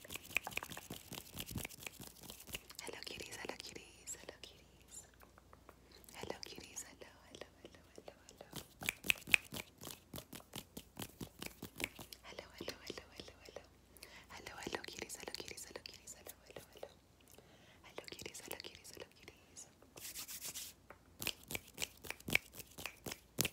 Hello cuties, hello cuties, hello cuties. Hello cuties, hello, hello, hello, hello, hello. Hello, hello, hello, hello, hello. Hello, hello cuties, hello cuties, hello cuties, hello, hello, hello. Hello cuties, hello cuties, hello cuties.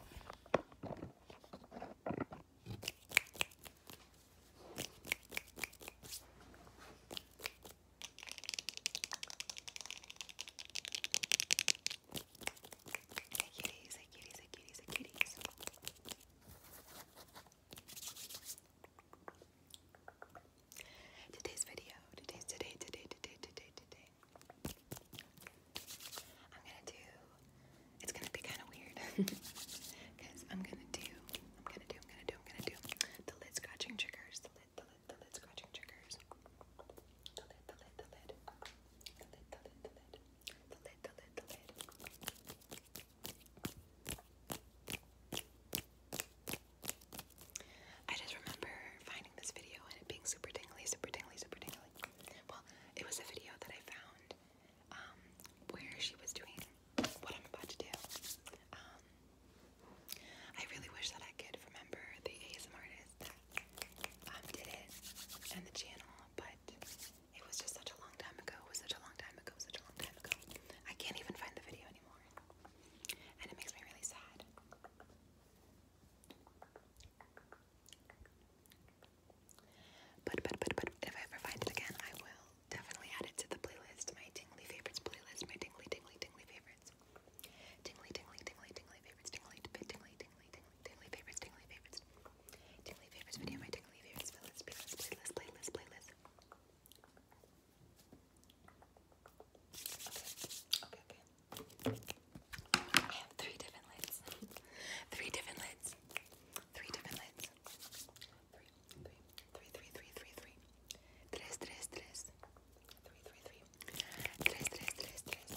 Kitties, a kitties, a kitties, a kitties. Today's video, today's today, today, today, today, today I'm gonna do it's gonna be kind of weird because I'm gonna do I'm gonna do I'm gonna do I'm gonna do the lid scratching triggers the lid the lid the lid scratching triggers the lid the lid the lid the lid the lid the lid the lid the lid the lid I just remember finding this video and being super tingly, super tingly, super tingly. Well, it was a video that I found um, where she was doing what I'm about to do. Um, I really wish that I could remember the ASM artist that um, did it and the channel, but it was just such a long time ago. It was such a long time ago. Such a long time ago. I can't even find the video anymore, and it makes me really sad. But, but, but, but, if I ever find it again, I will definitely add it to the playlist, my tingly favorites playlist, my tingly, tingly, tingly favorites. Tingly, tingly, tingly, tingly favorites, tingly, tingly, tingly, tingly, favorites, tingly favorites. Tingly favorites video, my tingly favorites playlist, playlist, playlist, playlist, playlist. Okay, okay, okay. I have three different lids. three different lids. Three different lids. Three, three, three, three, three, three, three. Tres, tres, tres. Three, three, three. Tres, tres, tres, tres.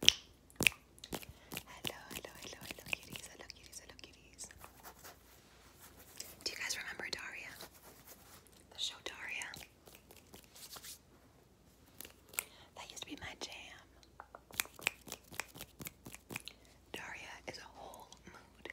Hello, hello, hello, hello kitties, kitties, kitties. Do you guys remember Daria? The show Daria? That used to be my jam. Daria is a whole mood.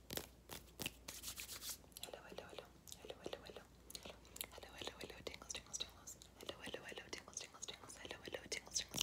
Hello, hello, hello. Hello, hello, hello. Hello, hello, hello. Tingles, tingles, tingles. Hello, hello, hello. Tingles, tingles, tingles. Hello, hello, tingles, tingles, tingles.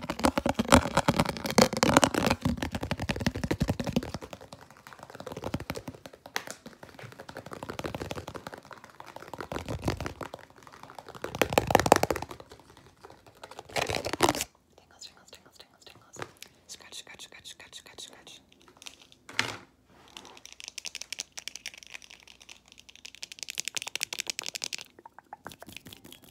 Tingles, tingles, tingles, tingles, tingles. Scratch, scratch, scratch, scratch, scratch, scratch.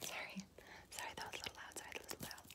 Sorry, sorry that was a little loud, sorry that was a little loud.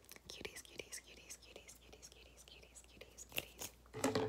Cuties, cuties, cuties, cuties, cuties, cuties, cuties, cuties, cuties.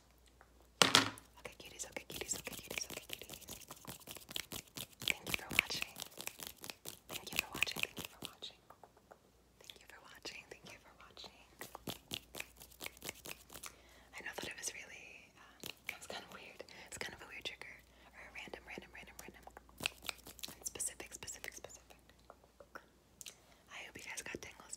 Okay, cuties, okay, cuties, okay, cuties, okay, cuties. Thank you for watching. Thank you for watching. Thank you for watching. Thank you for watching. Thank you for watching. I know that it was really, um, kind of weird. It's kind of a weird trigger. Or a random, random, random, random. specific, specific, specific. I hope you guys got tingles,